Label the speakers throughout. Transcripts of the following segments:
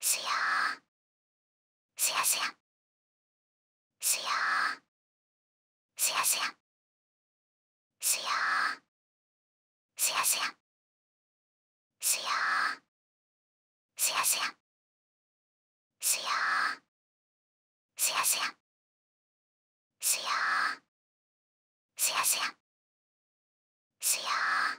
Speaker 1: すやーすやすやすやーすやすやすやーすやすやすやーすやすやすやーすやすやすやーすやすやすやー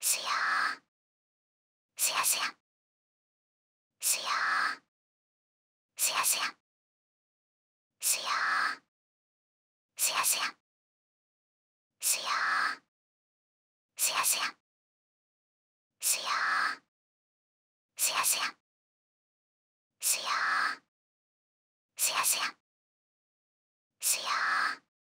Speaker 1: すやーすやすやすやーすやすやすやーすやすやすやーすやすやすやーすやすやすやーすやすやすやー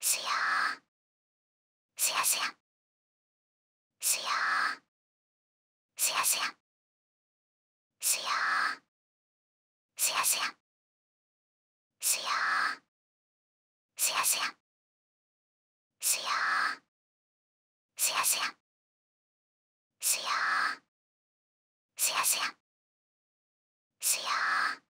Speaker 1: すやーすやすやすやーすやすやすやーすやすやすやーすやすやすやーすやすやすやーすやすやすやー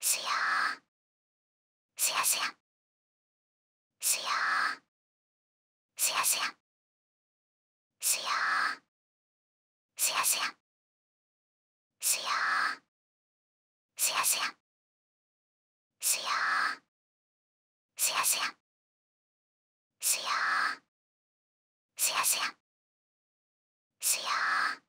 Speaker 1: すやーすやすやすやーすやすやすやーすやすやすやーすやすやすやーすやすやすやーすやすやすやー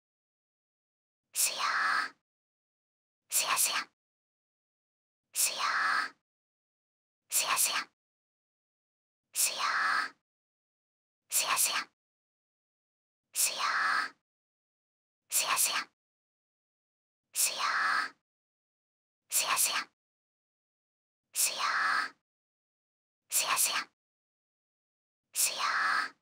Speaker 1: すやーすやすやすやーすやすやすやーすやすやすやーすやすやすやーすやすやすやーすやすやすやー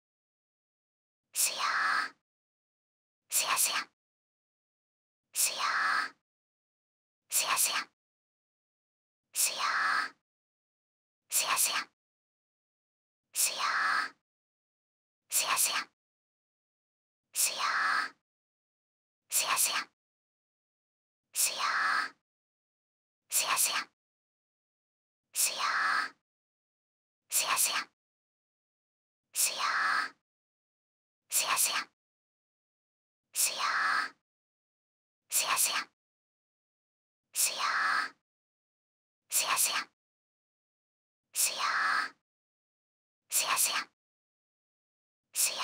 Speaker 1: すやーすやすやすやーすやすやすやーすやすやすやーすやすやすやーすやすやすやーすやすやすやーすやすやすやーすやすやすやーすやすやすやーすやすやすやーすやすやすやーすやすやすやー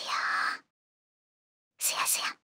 Speaker 1: すやすや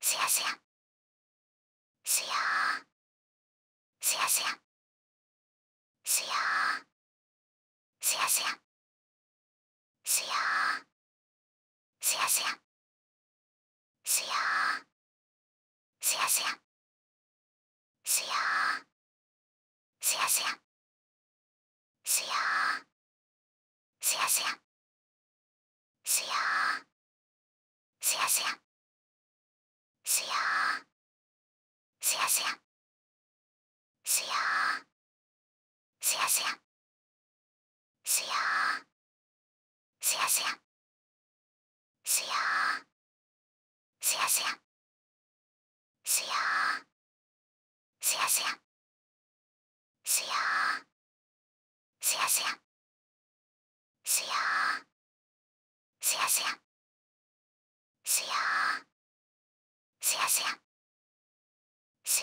Speaker 1: すやすやすやーすやすやすやーすやすやすやーすやすやすやーすやすやすやーすやすやすやーすやすややすやーすやすやすやーすやすやすやーすやすやす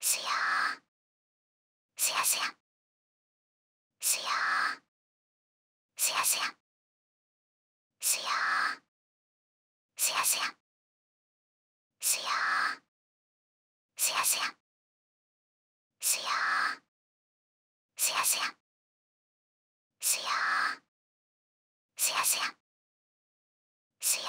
Speaker 1: すやーすやすやすやーすやすやすやーすやすやすやーすやすやすやーすやすやすやーすやすやすやー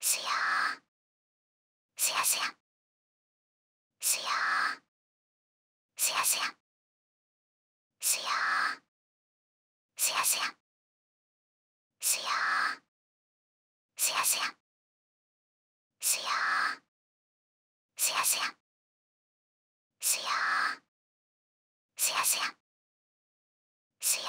Speaker 1: すやーすやすやすやーすやすやすやーすやすやすやーすやすやすやーすやすやすやーすやすやすやー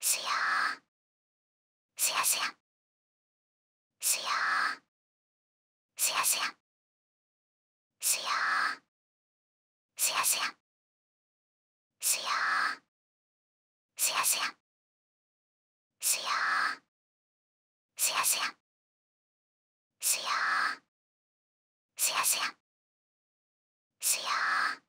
Speaker 1: すやーすやすやすやーすやすやすやーすやすやすやーすやすやすやーすやすやすやーすやすやすやー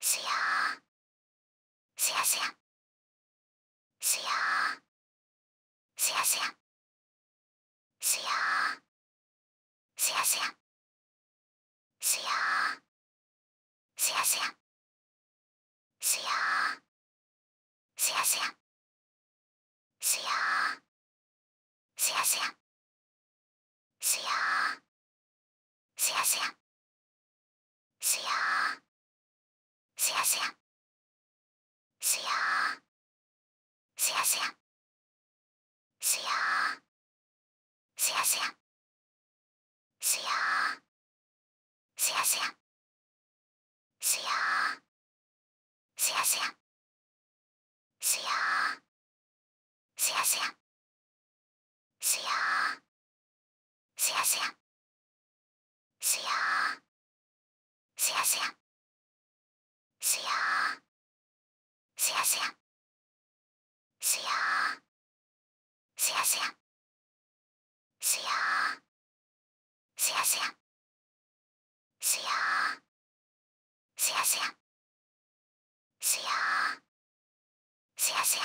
Speaker 1: すやーすやすやすやーすやすやすやーすやすやすやーすやすやすやーすやすやすやーすやすやすやーすやすやすやーすやすやすやーすやすやすやーすやすやすやーすやすやすやーすやすやすやーすやすやすやーすやすやすやーすやすやすやーすやすやすやーすやすやすやーすやすやすやーすやすやすやーすやすや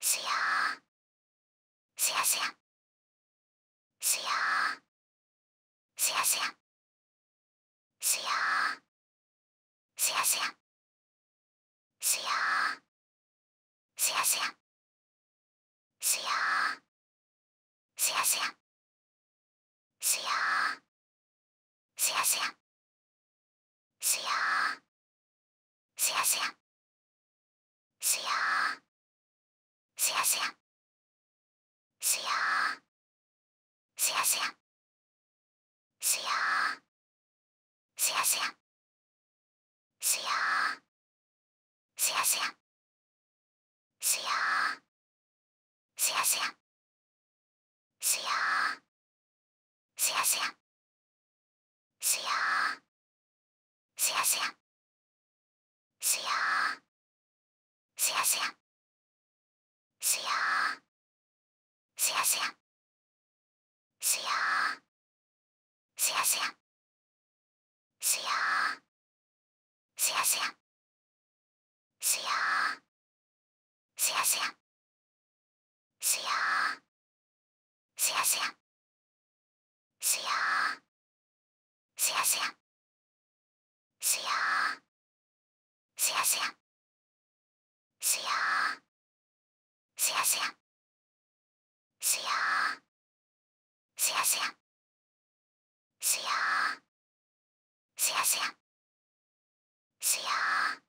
Speaker 1: すやーすやすやすやーすやすやすやーすやすやすやーすやすやすやーすやすやすやーすやすやすやーすやすやすやーすやすやすやーすやすやすやーすやすやすやーすやすやすやーすやすやすやーすやすやすややすやーすやすやすやーすやすやすやーすやすやすやーすやすやすやーすやすやすやーすやすやすやー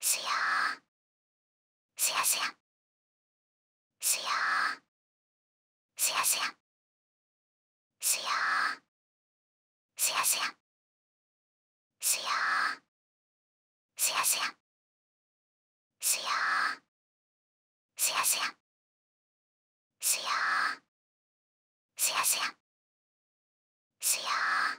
Speaker 1: すやーすやすやすやーすやすやすやーすやすやすやーすやすやすやーすやすやすやーすやすやすやー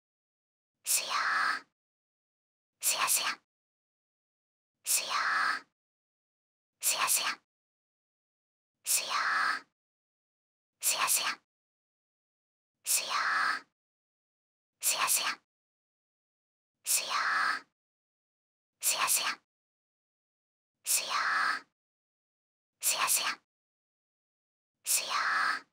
Speaker 1: すやーすやすやすやーすやすやすやーすやすやすやーすやすやすやーすやすやすやーすやすやすやー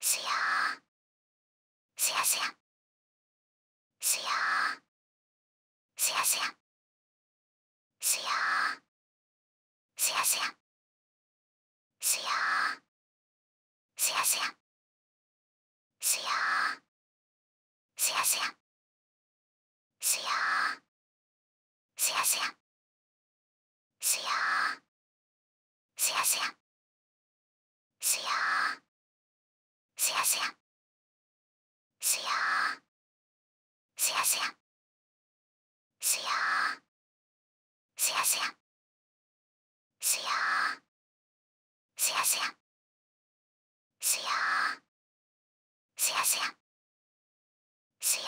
Speaker 1: すやーすやすやすやーすやすやすやーすやすやすやーすやすやすやーすやすやすやーすやすやすやーすやすやすやーすやすやすやーすやすやすやーすやすやすやーすやすやすやーすやすやすやーす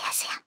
Speaker 1: やすや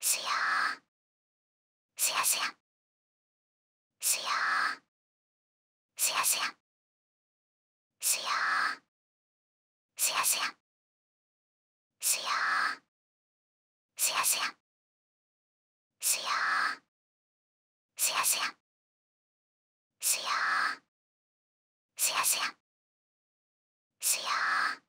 Speaker 1: すやーすやすやすやーすやすやすやーすやすやすやーすやすやすやーすやすやすやーすやすやすやー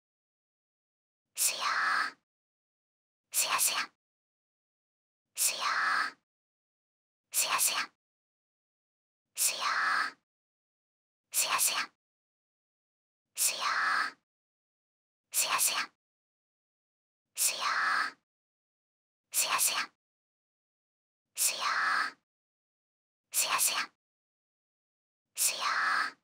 Speaker 1: すやーすやすやすやーすやすやすやーすやすやすやーすやすやすやーすやすやすやーすやすやすやー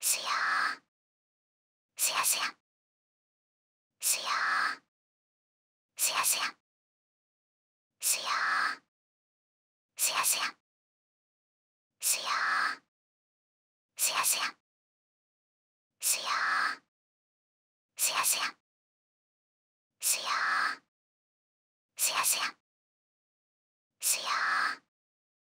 Speaker 1: すやーすやすやすやーすやすやすやーすやすやすやーすやすやすやーすやすやすやーすやすやすやー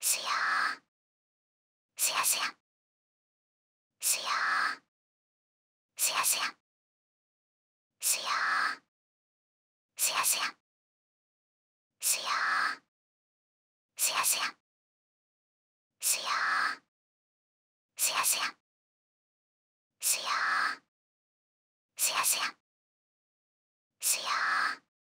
Speaker 1: すやーすやすやすやーすやすやすやーすやすやすやーすやすやすやーすやすやすやーすやすやすやー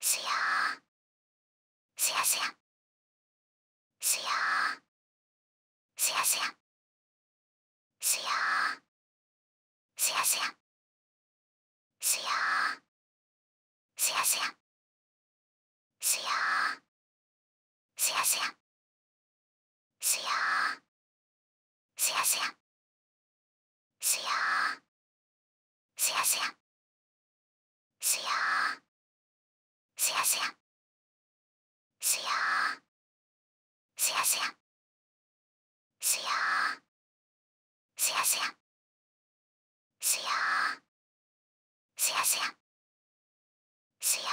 Speaker 1: すやーすやすやすやーすやすやすやーすやすやすやーすやすやすやーすやすやすやーすやすやすやーすやすやすやーすやすやすやーすやすやすやーすやすやすやーすやすやすやーすやすやすやー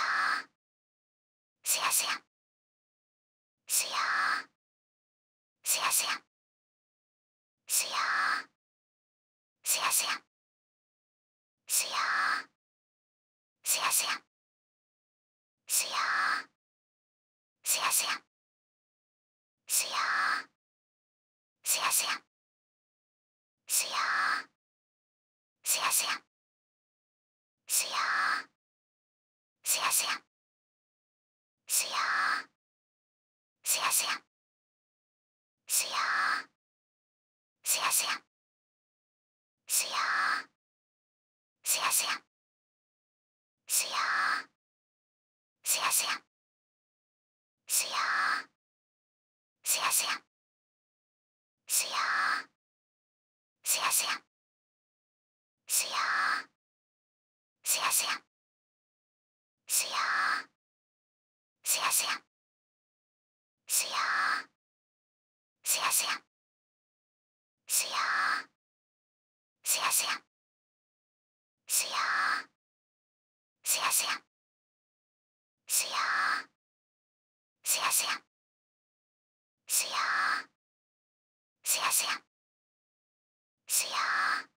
Speaker 1: すやすやすやーすやすやすやーすやすやすやーすやすやすやーすやすやすやーすやすやすやーすやすやすやーすやすやすやーすやすやすやーすやすやすやーすやすやすやーすやすやすやーすやすやすやーすやすやすやーすやすやすやーすやすやすやーすやすやすやーすやすやすやーすやすやすやーすやすやすやー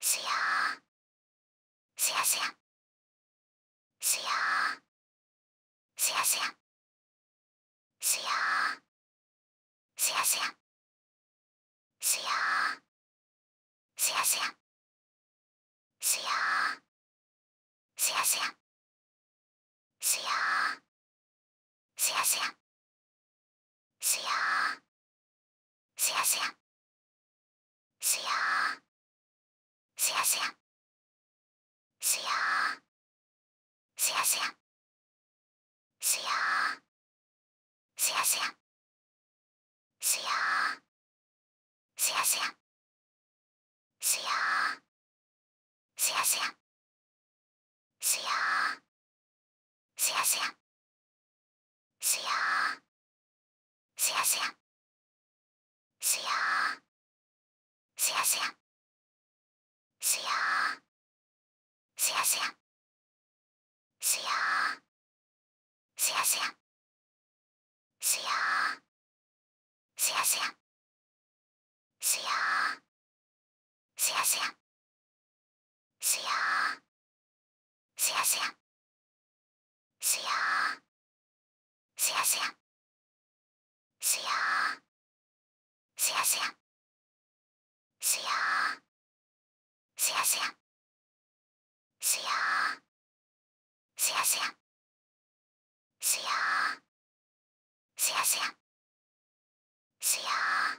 Speaker 1: すやーすやすやすやーすやすやすやーすやすやすやーすやすやすやーすやすやすやーすやすやすやーすやすやすやーすやすやすやーすやすやすやーすやすやすやーすやすやすやーすやすやすやーすやすやすやーすやすやすやーすやすやすやーすやすやすやーすやすやすやーすやすやすやーすやすやすやーすやすやすやーすやすやすやーすやすやすやーすやすやすやーすやすやすやーすやすやすやー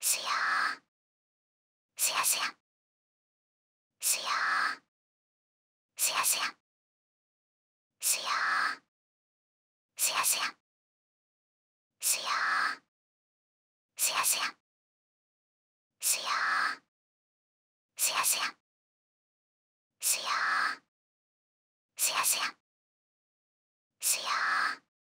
Speaker 1: すやーすやすやすやーすやすやすやーすやすやすやーすやすやすやーすやすやすやーすやすやすやー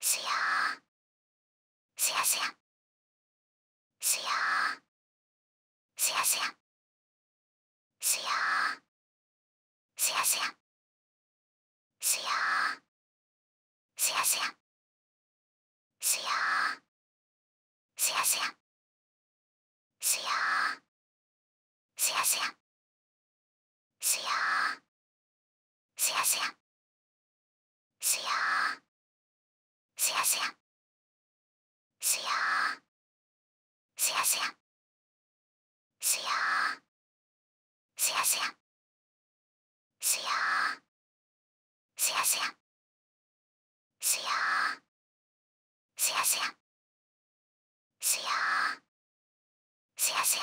Speaker 1: すやーすやすやすやーすやすやすやーすやすやすやーすやすやすやーすやすやすやーすやすやすやーすやすやすやーすやすやすやーすやすやすやーすやすやすやーすやすやすやーすやすやすやーすやすや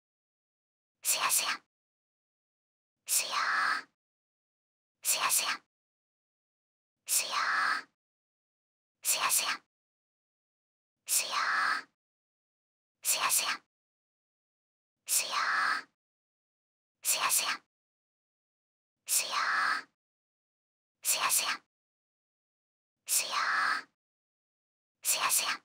Speaker 1: すやすやすやーすやすやすやーすやすやすやーすやすやすやーすやすやすやーすやすやすやーすやすや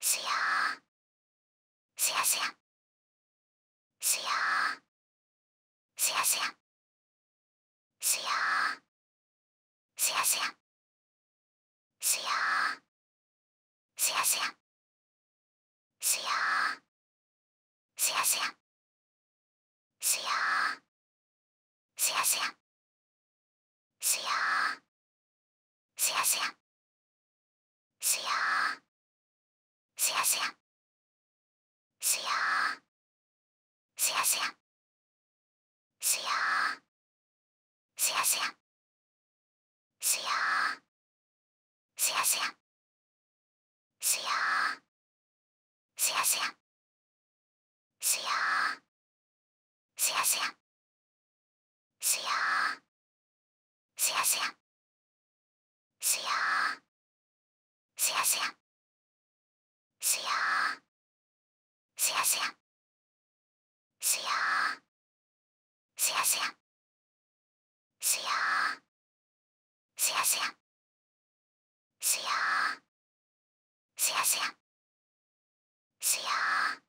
Speaker 1: すやーすやすやすやーすやすやすやーすやすやすやーすやすやすやーすやすやすやーすやすやすやーすやすやすやーすやすやすやーすやすやすやーすやすやすやーすやすやすやーすやすやすやーすやすやすやーすやすやすやーすやすやすやーすやすやすやーすやすやすやーすやすやすやーすやすやすやー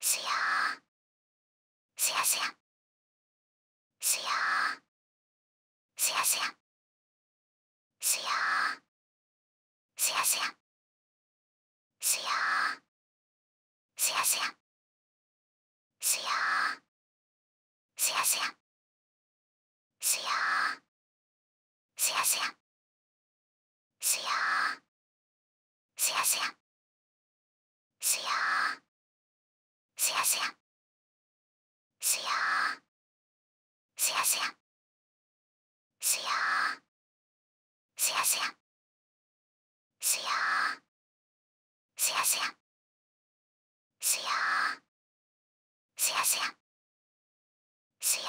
Speaker 1: すやーすやすやすやーすやすやすやーすやすやすやーすやすやすやーすやすやすやーすやすやすやーすやすやすやーすやすやすやーすやすやすやーすやすやすやーすやすやすやーすやすやすやー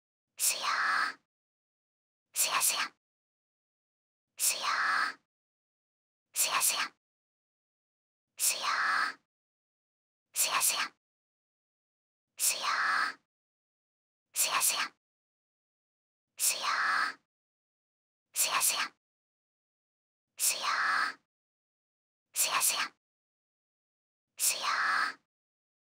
Speaker 1: すやーすやすやすやーすやすやすやーすやすやすー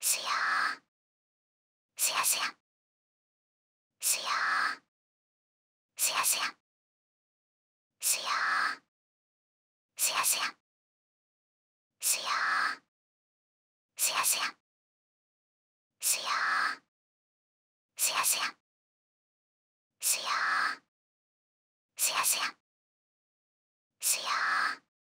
Speaker 1: すやーすやすやすやーすやすやすやーすやすやすやーすやすやすやーすやすやすやーすやすやすやー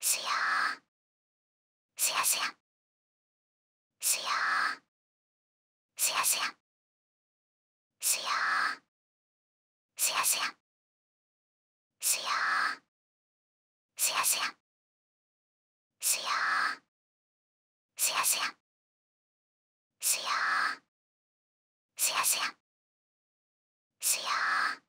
Speaker 1: すやーすやすやすやーすやすやすやーすやすやすやーすやすやすやーすやすやすやーすやすやすやー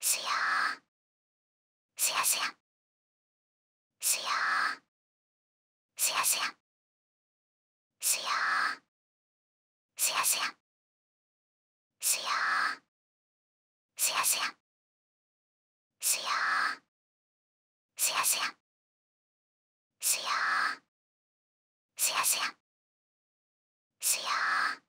Speaker 1: すやーすやすやすやーすやすやすやーすやすやすやーすやすやすやーすやすやすやーすやすやすやー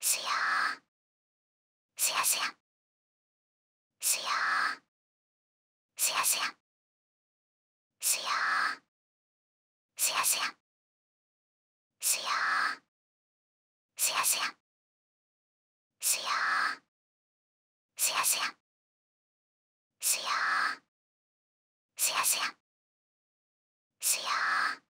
Speaker 1: すやーすやすやすやーすやすやすやーすやすやすやーすやすやすやーすやすやすやーすやすやすやー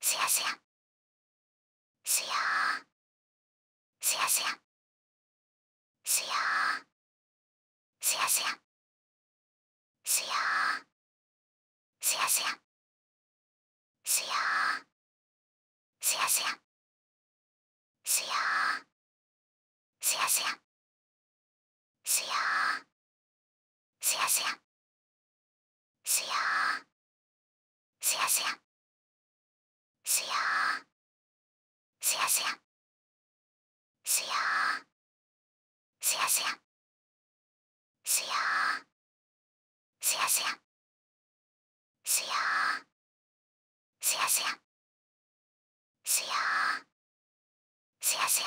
Speaker 1: すやすやすやーすやすやすやーすやすやすやーすやすやすやーすやすやすやーすやすやすやーすやすやすやーすやすやすやーすやすやすやーすやすやすやーすやすやすやーすやすやすやーすやすや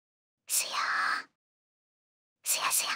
Speaker 1: すやーすや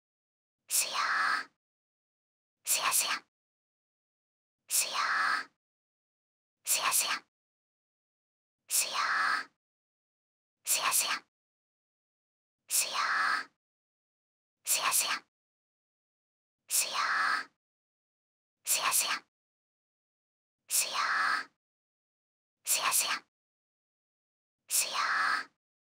Speaker 1: すやーすやすやすやーすやすやすやーすやすやすやーすやすやすやーすやすやすやーすやすやすやー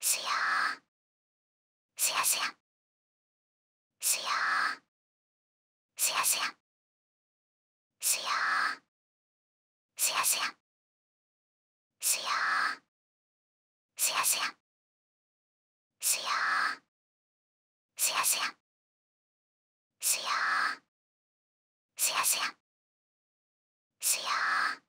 Speaker 1: すやーすやすやすやーすやすやすやーすやすやすやーすやすやすやーすやすやすやーすやすやすやー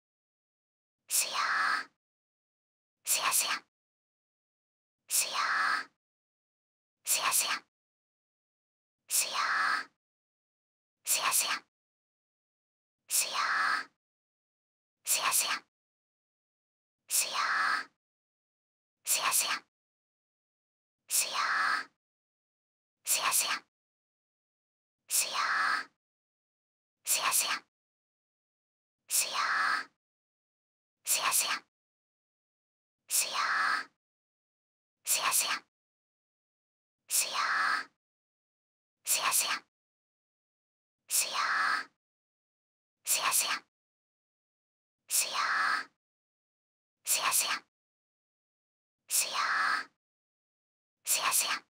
Speaker 1: すやーすやすやすやーすやすやすやーすやすやすやーすやすやすやーすやすやすやーすやすやすやーすやすやすやーすやすやすやーすやすやすやーすやすやすやーすやすやすやーすやすやすやーすやすや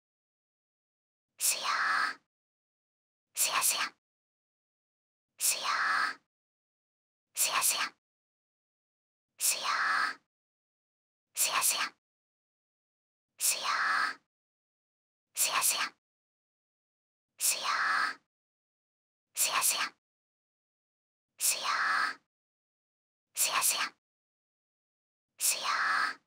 Speaker 1: すやーすやすやすやーすやすやすやーすやすやすやーすやすやすやーすやすやすやーすやすやすやー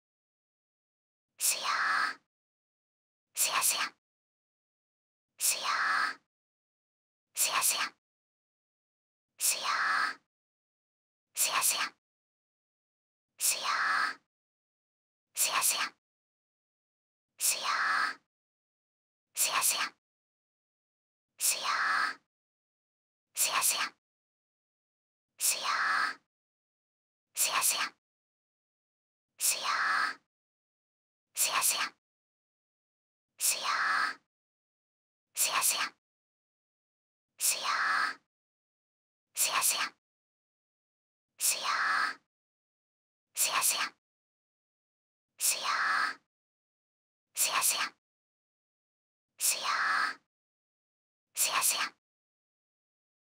Speaker 1: すやーすやすやすやーすやすやすやーすやすやすやーすやすやすやーすやすやすやーすやすやすやすやすやすやーすやすやすやーすやすやすやーすやすやすやーすやすやすやーすやすやすやーすやすや